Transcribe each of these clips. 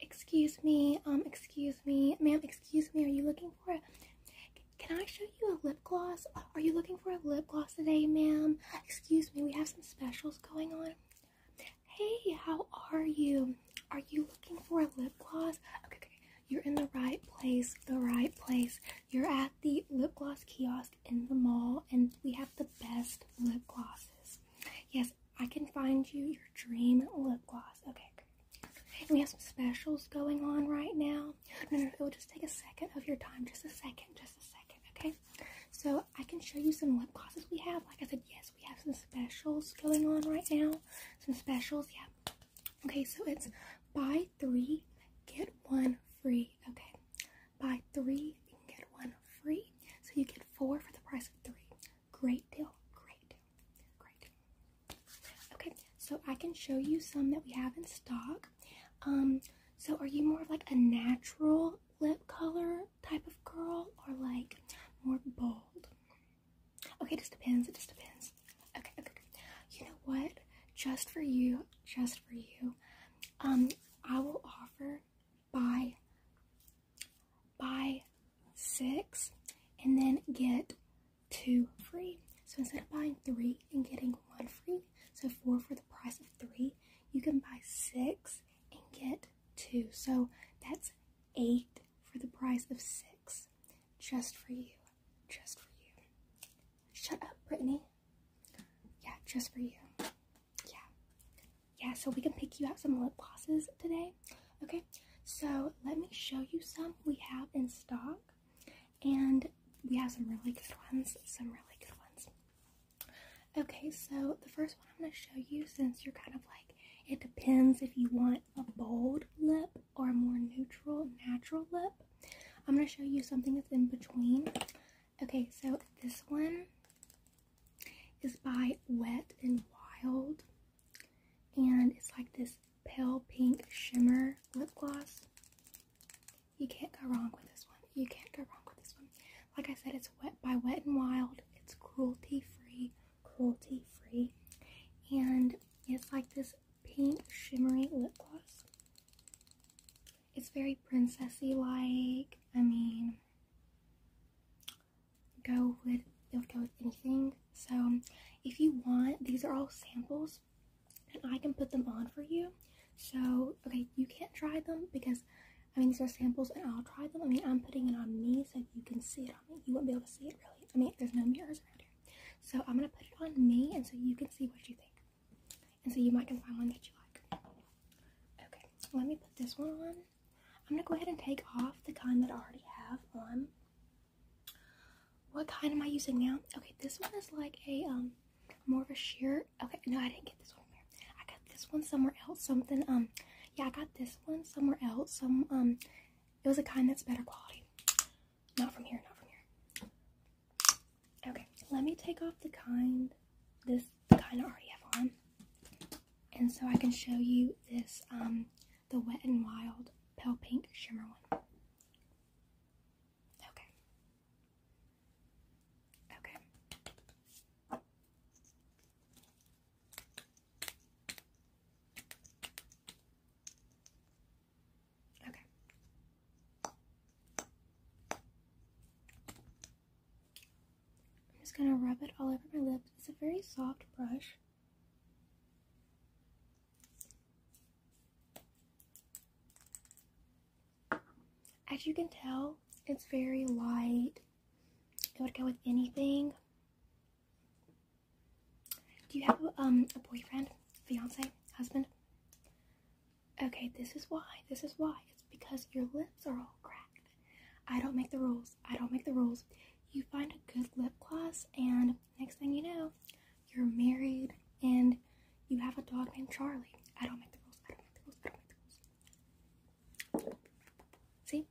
Excuse me, um, excuse me, ma'am, excuse me, are you looking for a, can I show you a lip gloss? Are you looking for a lip gloss today, ma'am? Excuse me, we have some specials going on. Hey, how are you? Are you looking for a lip gloss? Okay, okay, you're in the right place, the right place. You're at the lip gloss kiosk in the mall, and we have the best lip glosses. Yes, I can find you your dream lip gloss. Okay, we have some specials going on right now. No, no, it will just take a second of your time. Just a second, just a second, okay? So I can show you some lip glosses we have. Like I said, yes, we have some specials going on right now. Some specials, yeah. Okay, so it's buy three, get one free. Okay, buy three, get one free. So you get four for the price of three. Great deal. Great deal. Great deal. Okay, so I can show you some that we have in stock. Um, so are you more of like a natural lip color type of girl or like more bold? Okay, just depends. It just depends. Okay, okay, okay. You know what? Just for you, just for you, um, I will offer buy buy six and then get two free. So instead of buying three and getting one free, so four for the price of three, you can buy six and get two. So that's eight for the price of six. Just for you. Just for you. Shut up, Brittany. Yeah, just for you. Yeah yeah, so we can pick you out some lip glosses today. Okay, so let me show you some we have in stock. And we have some really good ones, some really good ones. Okay, so the first one I'm going to show you, since you're kind of like, it depends if you want a bold lip or a more neutral, natural lip. I'm going to show you something that's in between. Okay, so this one is by Wet and Wild. And it's like this pale pink shimmer lip gloss. You can't go wrong with this one. You can't go wrong with this one. Like I said, it's Wet by Wet and Wild. It's cruelty free, cruelty free. And it's like this pink shimmery lip gloss. It's very princessy like. I mean, go with it'll go with anything. So if you want, these are all samples and I can put them on for you. So okay, you can't try them because I mean these are samples and I'll try them. I mean I'm putting it on me so you can see it on me. You won't be able to see it really. I mean there's no mirrors around here. So I'm gonna put it on me and so you can see what you think. And so you might can find one that you like. Okay, let me put this one on. I'm gonna go ahead and take off the kind that I already have on. What kind am I using now? Okay, this one is like a um more of a sheer. Okay, no, I didn't get this one here. I got this one somewhere else. Something um yeah, I got this one somewhere else. Some um it was a kind that's better quality. Not from here, not from here. Okay, let me take off the kind this kind I already have on. And so I can show you this um, the Wet and Wild pale pink shimmer one. Okay. Okay. Okay. I'm just going to rub it all over my lips. It's a very soft brush. As you can tell, it's very light. It would go with anything. Do you have um, a boyfriend, fiance, husband? Okay, this is why. This is why. It's because your lips are all cracked. I don't make the rules. I don't make the rules. You find a good lip gloss, and next thing you know, you're married and you have a dog named Charlie. I don't make the rules. I don't make the rules. I don't make the rules. See?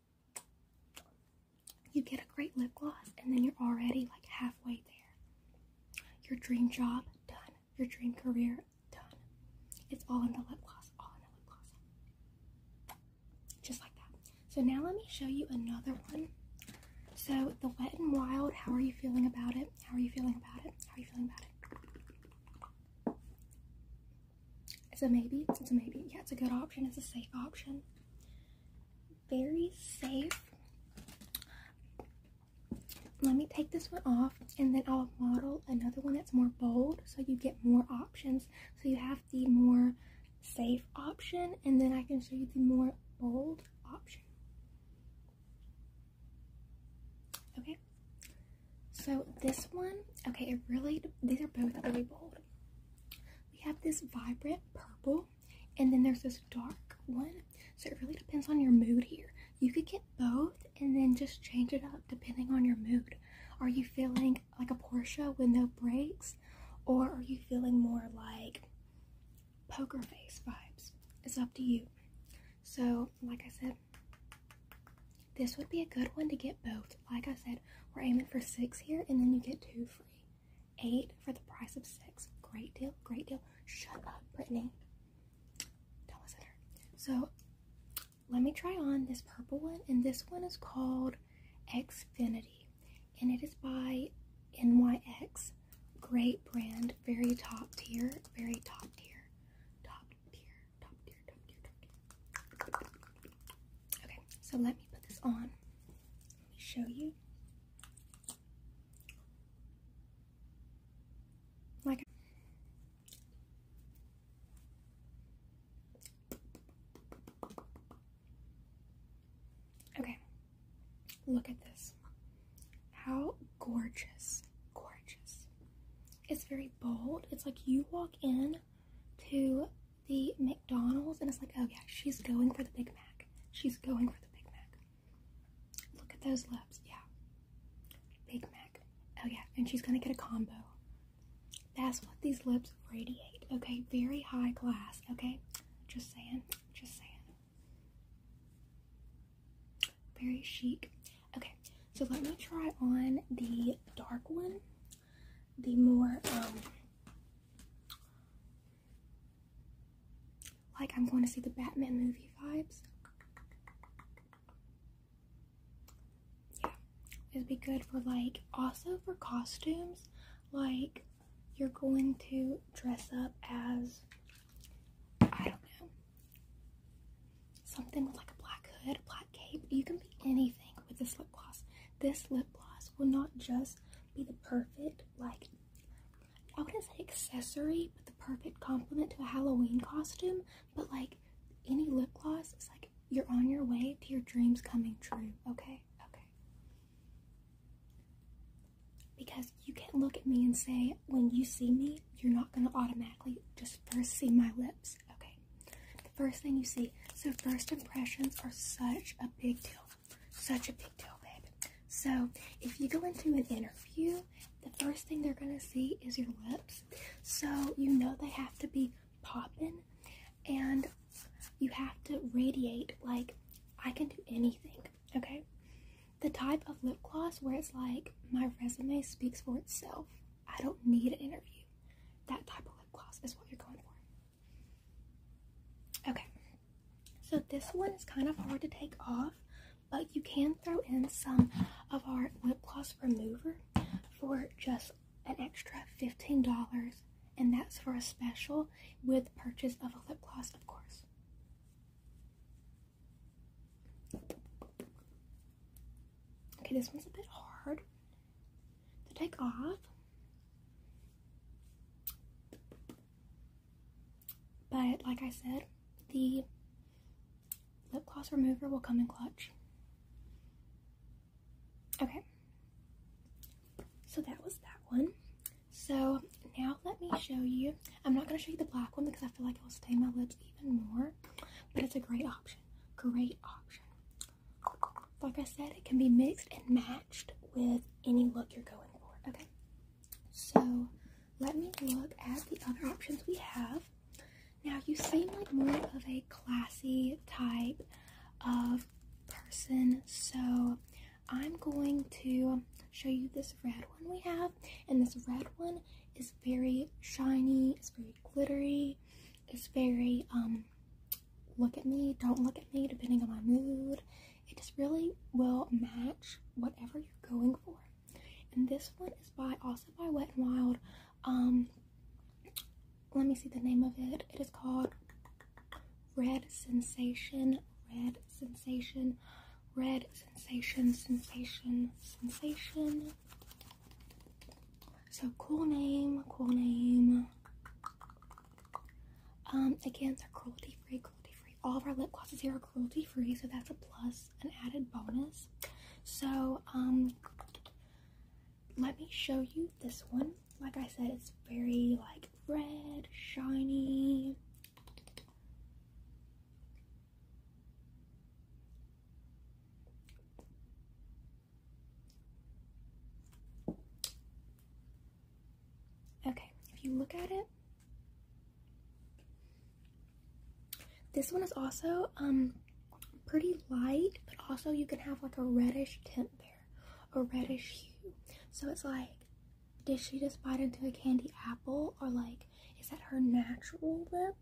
You get a great lip gloss, and then you're already like halfway there. Your dream job, done. Your dream career, done. It's all in the lip gloss. All in the lip gloss just like that. So now let me show you another one. So the Wet and Wild, how are you feeling about it? How are you feeling about it? How are you feeling about it? It's a maybe. It's a maybe. Yeah, it's a good option. It's a safe option. Very safe. Let me take this one off and then I'll model another one that's more bold so you get more options. So you have the more safe option and then I can show you the more bold option. Okay, so this one, okay, it really, these are both really bold. We have this vibrant purple and then there's this dark one. So it really depends on your mood here. You could get both and then just change it up depending on your mood. Are you feeling like a Porsche with no brakes, or are you feeling more like poker face vibes? It's up to you. So, like I said, this would be a good one to get both. Like I said, we're aiming for six here, and then you get two free. Eight for the price of six. Great deal, great deal. Shut up, Brittany. Don't listen to So, let me try on this purple one, and this one is called Xfinity, and it is by NYX. Great brand, very top tier, very top tier, top tier, top tier, top tier, top tier. Okay, so let me put this on. Let me show you. Like. Okay, look at this. How gorgeous, gorgeous. It's very bold. It's like you walk in to the McDonald's and it's like, oh yeah, she's going for the Big Mac. She's going for the Big Mac. Look at those lips. Yeah. Big Mac. Oh yeah, and she's gonna get a combo. That's what these lips radiate, okay? Very high class, okay? Just saying, just saying. Very chic. Okay, so let me try on the dark one, the more, um, like I'm going to see the Batman movie vibes. Yeah, it would be good for like also for costumes like you're going to dress up as I don't know something with like a black hood, a black cape. You can be anything with this lip gloss. This lip gloss will not just be the perfect like I wouldn't say accessory, but the perfect complement to a Halloween costume. But like any lip gloss is like you're on your way to your dreams coming true, okay? Okay. Because you can't look at me and say, when you see me, you're not going to automatically just first see my lips, okay? The first thing you see. So, first impressions are such a big deal. Such a big deal, babe. So, if you go into an interview, the first thing they're going to see is your lips. So, you know they have to be popping and you have to radiate, like, I can do anything, okay? The type of lip gloss where it's like, my resume speaks for itself. I don't need an interview. That type of lip gloss is what you're going for. Okay, so this one is kind of hard to take off, but you can throw in some of our lip gloss remover for just an extra $15, and that's for a special with purchase of a lip gloss, of course. Okay, this one's a bit hard to take off. But like I said, the lip gloss remover will come in clutch. Okay. So that was that one. So now let me show you. I'm not going to show you the black one because I feel like it will stain my lips even more. But it's a great option. Great option. Like I said, it can be mixed and matched with any look you're going for. Okay. So let me look at the other options we have. Now you seem like more of a classy type of person. So I'm going to show you this red one we have. And this red one is very shiny, it's very glittery, it's very, um, look at me, don't look at me, depending on my mood. It just really will match whatever you're going for. And this one is by, also by Wet and Wild. Um, let me see the name of it. It is called Red Sensation, Red Sensation, Red Sensation, Sensation, Sensation. So cool name, cool name. Um, again, they're cruelty free, cruelty free. All of our lip glosses here are cruelty free, so that's a plus, an added bonus. So, um, let me show you this one. Like I said, it's very like red, shiny. Okay, if you look at it, this one is also um pretty light, but also you can have like a reddish tint there a reddish hue. So it's like, did she just bite into a candy apple? Or like, is that her natural lip?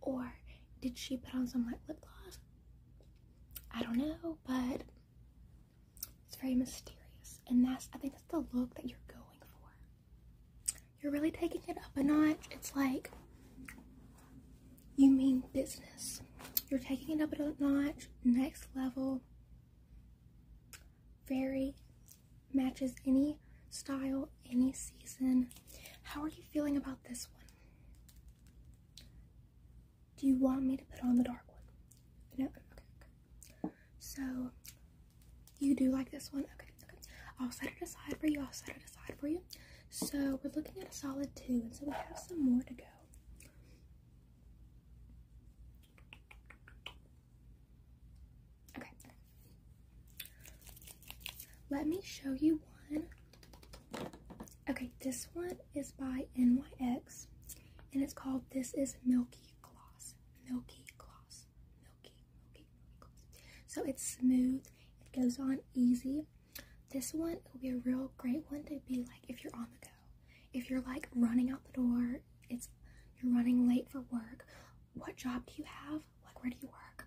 Or did she put on some like lip gloss? I don't know, but it's very mysterious. And that's, I think that's the look that you're going for. You're really taking it up a notch. It's like, you mean business you're taking it up a notch, next level. Very matches any style, any season. How are you feeling about this one? Do you want me to put on the dark one? No? okay. So, you do like this one? Okay, okay. I'll set it aside for you. I'll set it aside for you. So, we're looking at a solid two, and so we have some more to go. Okay. Let me show you one. Okay, this one is by NYX and it's called This Is Milky Gloss. Milky Gloss. Milky, milky, milky gloss. So it's smooth, it goes on easy. This one will be a real great one to be like if you're on the go. If you're like running out the door, it's you're running late for work. What job do you have? Like where do you work?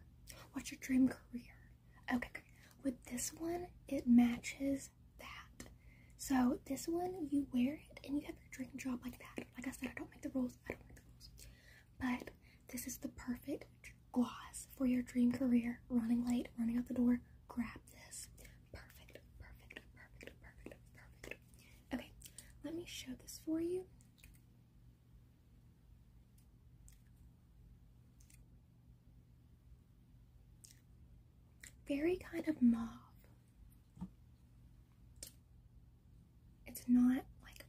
What's your dream career? Okay, With this one, it matches that. So this one, you wear it and you have your dream job like that. Like I said, I don't make the rules. I don't make the rules. But this is the perfect gloss for your dream career. Running late, running out the door. Grab this. Perfect, perfect, perfect, perfect, perfect. Okay, let me show this for you. Very kind of mauve. It's not like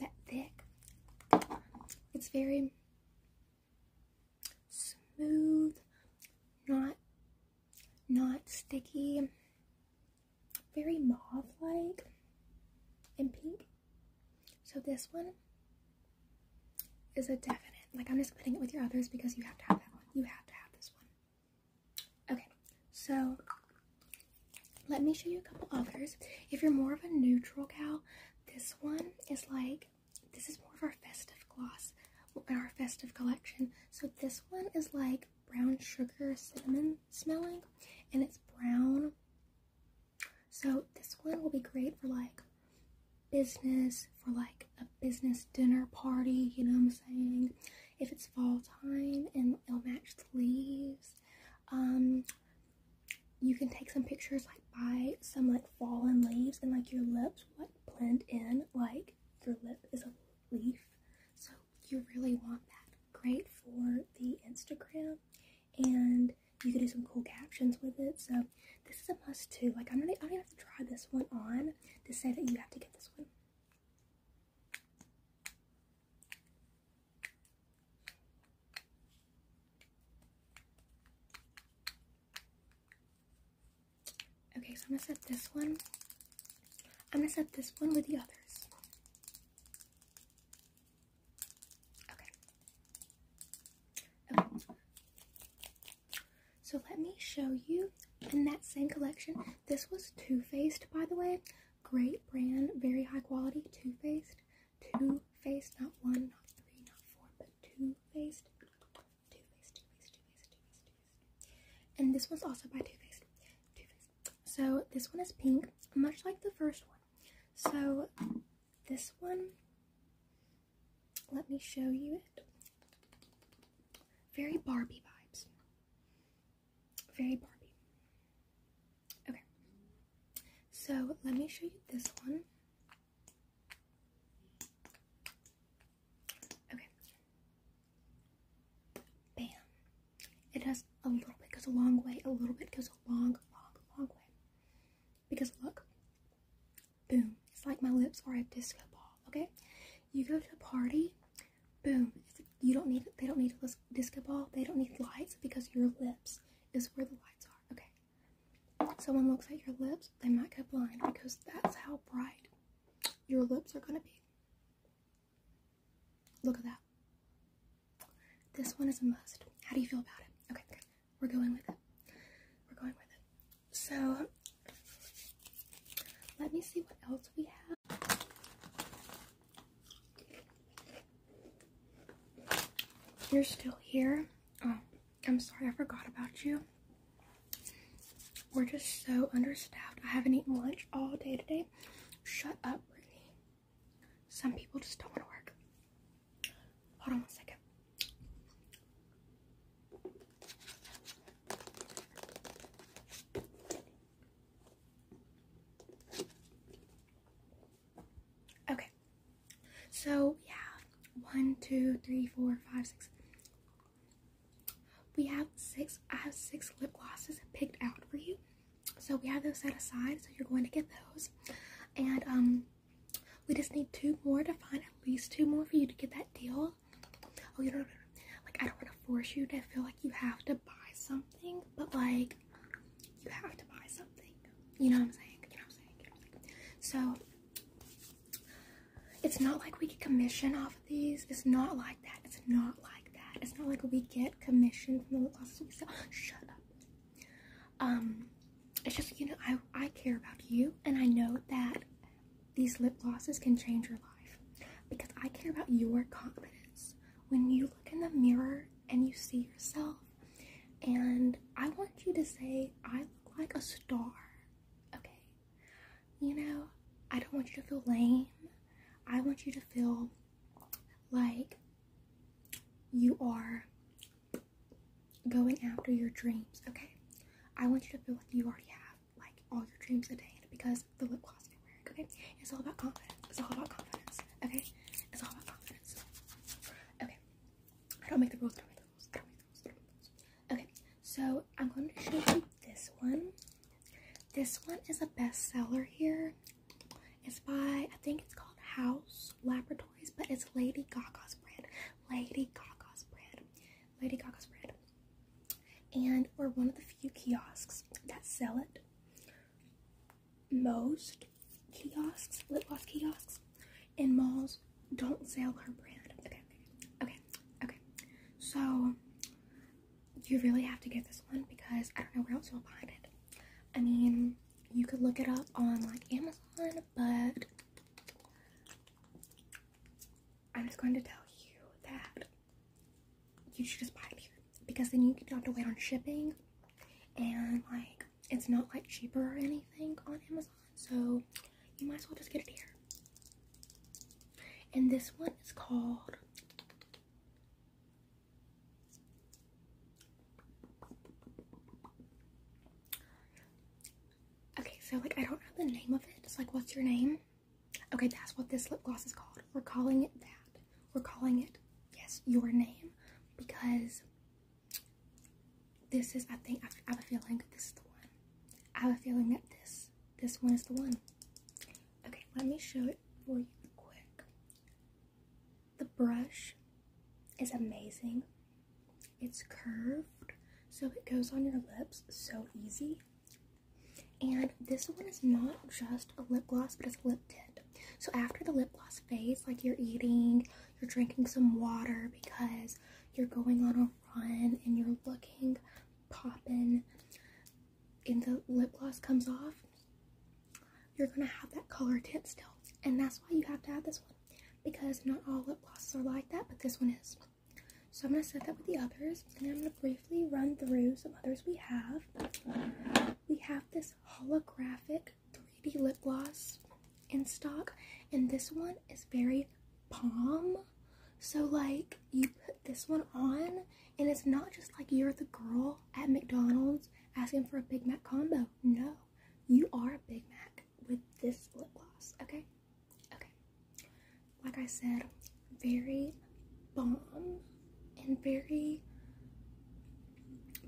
that thick. It's very smooth, not not sticky, very mauve-like and pink. So this one is a definite. Like I'm just putting it with your others because you have to have that one. You have to have this one. Okay, so let me show you a couple others. If you're more of a neutral gal, this one is like this is more of our festive gloss in our festive collection. So this one is like brown sugar cinnamon smelling and it's brown. So this one will be great for like business, for like a business dinner party, you know what I'm saying? If it's fall time and it'll match leaves. Um, you can take some pictures like by some like fallen leaves and like your lips what blend in like your lip is a leaf. So you really want that. Great for the Instagram and you can do some cool captions with it. So this is a must too. Like I'm gonna I am going to i am gonna have to try this one on to say that you have to get this one. Okay, so I'm gonna set this one. I'm gonna set this one with the others. Okay. Okay. So let me show you in that same collection. This was Too Faced, by the way. Great brand, very high quality, Too Faced. Too Faced, not one, not three, not four, but Too Faced. And this one's also by Too Faced. Too Faced. So this one is pink, much like the first one. So this one, let me show you it. Very Barbie vibes. Very Barbie. Okay. So let me show you this one. Okay. Bam. It does a little bit goes a long way, a little bit goes a long, long, long way. Because look, boom, it's like my lips are a disco ball, okay? You go to a party, boom, you don't need, they don't need a disco ball, they don't need lights because your lips is where the lights are, okay? someone looks at your lips, they might go blind because that's how bright your lips are going to be. Look at that. This one is a must. How do you feel about it? Okay, good. We're going with it. We're going with it. So, let me see what else we have. You're still here. Oh, I'm sorry I forgot about you. We're just so understaffed. I haven't eaten lunch all day today. Shut up, Brittany. Some people just don't want to work. Hold on one second. Okay. So, yeah. One, two, three, four, five, six, we have six, I have six lip glosses picked out for you. So we have those set aside, so you're going to get those. And um, we just need two more to find at least two more for you to get that deal. Oh, you do like I don't want to force you to feel like you have to buy something, but like you have to buy something. You know what I'm saying? You know what I'm saying? You know what I'm saying? So it's not like we get commission off of these. It's not like that. It's not like that. It's not like we get commission from the lip glosses we sell. Shut up. Um, it's just you know I I care about you, and I know that these lip glosses can change your life because I care about your confidence. When you look in the mirror and you see yourself, and I want you to say, I look like a star. Okay, you know, I don't want you to feel lame. I want you to feel like you are going after your dreams, okay? I want you to feel like you already have like all your dreams attained because the lip gloss I'm okay? It's all about confidence. It's all about confidence, okay? It's all about confidence. Okay. I don't make the rules, do Okay, so I'm going to show you this one. This one is a bestseller here. It's by, I think it's called House Laboratories, but it's Lady Gaga's brand. Lady Gaga's brand. Lady Gaga's brand. And we're one of the few kiosks that sell it. Most kiosks, lip gloss kiosks, in malls don't sell her brand. Okay, okay, okay. So you really have to get this one because I don't know where else you'll find it. I mean, you could look it up on like Amazon, but I'm just going to tell you that you should just buy it here because then you don't have to wait on shipping and like it's not like cheaper or anything on Amazon. So you might as well just get it here. And this one is called Okay, so like I don't know the name of it. It's like what's your name? Okay, that's what this lip gloss is called. We're calling it that. We're calling it yes, your name because this is, I think, I have a feeling this is the one. I have a feeling that this, this one is the one. Okay, let me show it for you quick. The brush is amazing. It's curved, so it goes on your lips so easy. And this one is not just a lip gloss, but it's a lip tint. So after the lip gloss phase, like you're eating, you're drinking some water because you're going on a rotten and you're looking popping and the lip gloss comes off, you're gonna have that color tint still. And that's why you have to have this one because not all lip glosses are like that, but this one is. So I'm gonna set that with the others and I'm gonna briefly run through some others we have. We have this holographic 3D lip gloss in stock and this one one is very palm. So like you put this one on and it's not just like you're the girl at McDonald's asking for a Big Mac combo. No, you are a Big Mac with this lip gloss, okay? Okay. Like I said, very bomb and very,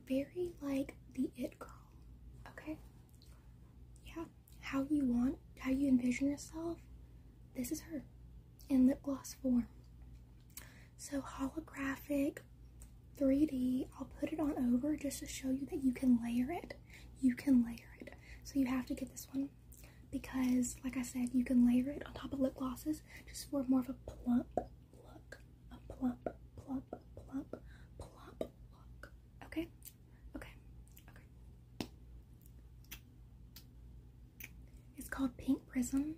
very like the it girl, okay? yeah, how you want, how you envision yourself, this is her in lip gloss form. So holographic, 3D, I'll put it on over just to show you that you can layer it. You can layer it. So you have to get this one because, like I said, you can layer it on top of lip glosses just for more of a plump look. A plump, plump, plump, plump look. Okay? Okay, okay. It's called Pink Prism.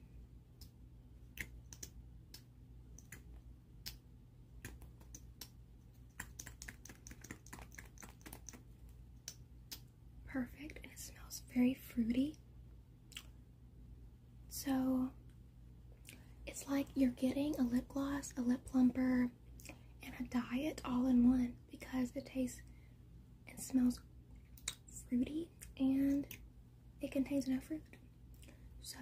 Perfect, and it smells very fruity. So it's like you're getting a lip gloss, a lip plumper, and a diet all in one because it tastes and smells fruity and it contains no fruit. So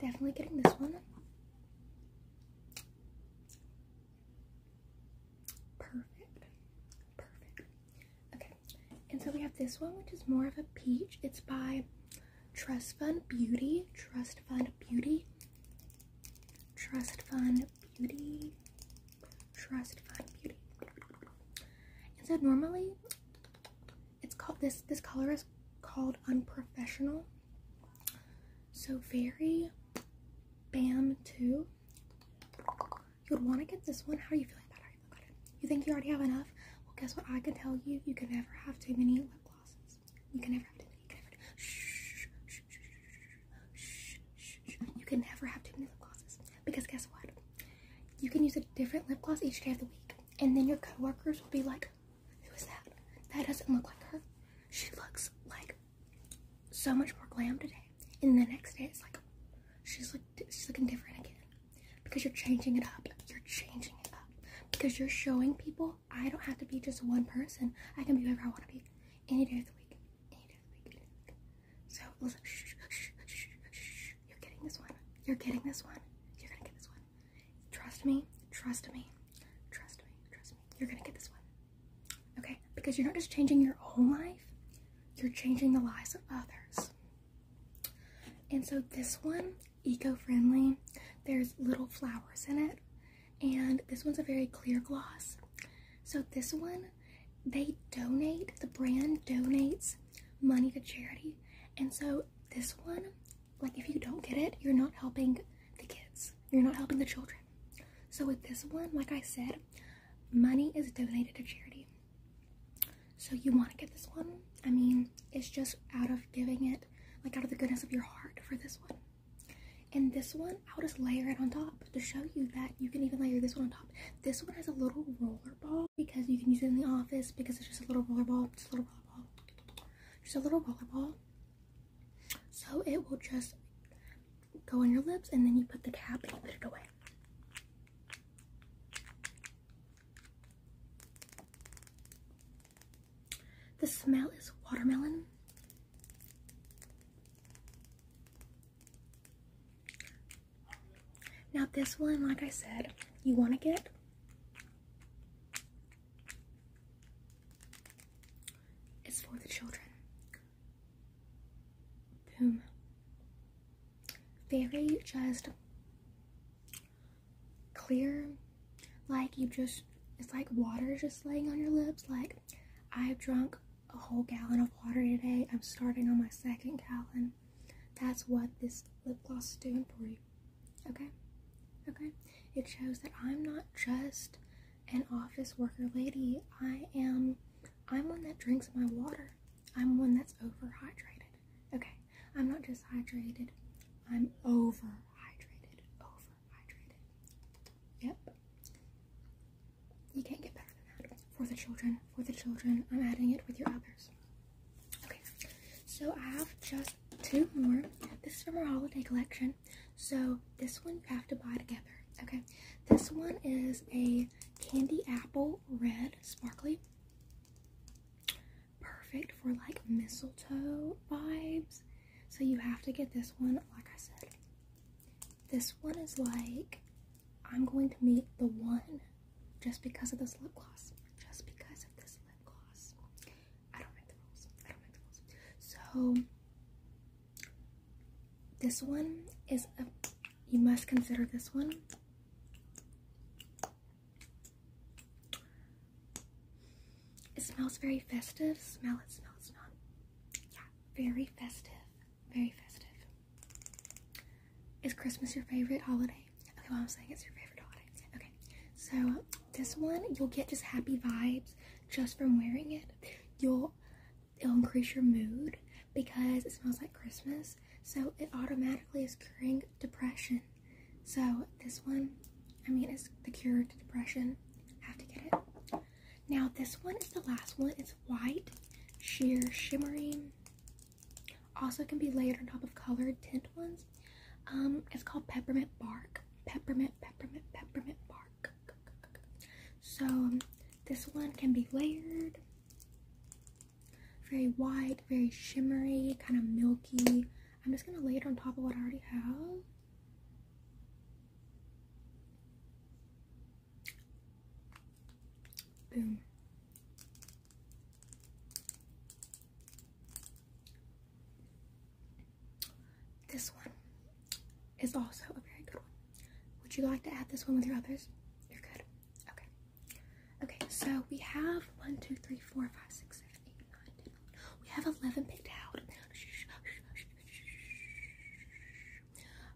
definitely getting this one. Perfect. Perfect. Okay. And so we have this one which is more of a peach. It's by Trust Fund Beauty. Trust Fund Beauty. Trust Fund Beauty. Trust Fine Beauty. And so normally, it's called this. This color is called unprofessional. So very bam too. You would want to get this one. How are you feeling about it? You think you already have enough? Well, guess what? I can tell you, you can never have too many lip glosses. You can never have too many. You can never. Shh, shh, you can never have too many lip glosses because guess what? You can use a different lip gloss each day of the week, and then your coworkers will be like, "Who is that? That doesn't look like her. She looks like so much more glam today." And the next day, it's like she's she's looking different again because you're changing it up. You're changing it up because you're showing people I don't have to be just one person. I can be whoever I want to be any day of the week. So listen, You're getting this one. You're getting this one. You're gonna get this one. Trust me. Trust me. Trust me. Trust me. You're gonna get this one. Okay? Because you're not just changing your own life, you're changing the lives of others. And so this one, eco-friendly, there's little flowers in it and this one's a very clear gloss. So this one, they donate, the brand donates money to charity. And so this one, like if you don't get it, you're not helping the kids. You're not helping the children. So with this one, like I said, money is donated to charity. So you want to get this one. I mean, it's just out of giving it, like out of the goodness of your heart for this one. And this one, I'll just layer it on top to show you that you can even layer this one on top. This one has a little roller ball because you can use it in the office because it's just a little roller ball, just a little roller ball, So it will just go on your lips and then you put the cap and you put it away. The smell is watermelon. Now this one, like I said, you want to get it's for the children. Boom. Very just clear, like you just it's like water just laying on your lips, like I've drunk a whole gallon of water today. I'm starting on my second gallon. That's what this lip gloss is doing for you. Okay? Okay? It shows that I'm not just an office worker lady. I am I'm one that drinks my water. I'm one that's overhydrated. Okay. I'm not just hydrated. I'm overhydrated. Over hydrated. Yep. You can't get better than that. For the children, for the children, I'm adding it with your others. Okay, so I have just two more. This is from our holiday collection. So this one you have to buy together. Okay, this one is a candy apple red sparkly. Perfect for like mistletoe vibes. So you have to get this one, like I said. This one is like, I'm going to meet the one just because of this lip gloss. Just because of this lip gloss. I don't make the rules. I don't make the rules. So, this one is a, you must consider this one. It smells very festive. Smell it, smell it, smell it. Yeah, very festive. Very festive. Is Christmas your favorite holiday? Okay, I'm saying it's your favorite holiday. Okay, so this one, you'll get just happy vibes just from wearing it. You'll, it'll increase your mood because it smells like Christmas. So it automatically is curing depression. So this one, I mean, it's the cure to depression. Have to get it. Now this one is the last one. It's white, sheer, shimmery. Also can be layered on top of colored tint ones. Um, it's called peppermint bark. Peppermint, peppermint, peppermint bark. So um, this one can be layered. Very white, very shimmery, kind of milky. I'm just gonna lay it on top of what I already have. Boom. This one is also a very good one. Would you like to add this one with your others? You're good. Okay. Okay, so we have 1, 2, 3, 4, 5, 6, 7, 8, 9, 10. We have 11 picked out.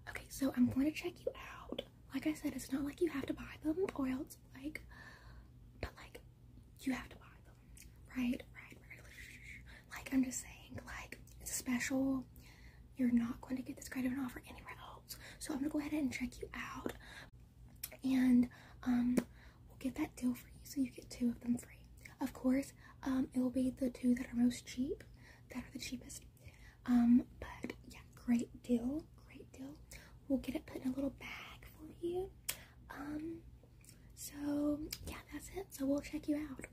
Okay, so I'm going to check you out. Like I said, it's not like you have to buy them or else, like, but like, you have to buy them, right? Right, right. Like, I'm just saying, like, it's special. You're not going to get this kind of an offer anywhere else. So I'm gonna go ahead and check you out and um, we'll get that deal for you so you get two of them free. Of course, um, it will be the two that are most cheap that are the cheapest. Um, but yeah, great deal, great deal. We'll get it put in a little bag for you. Um, so yeah, that's it. So we'll check you out.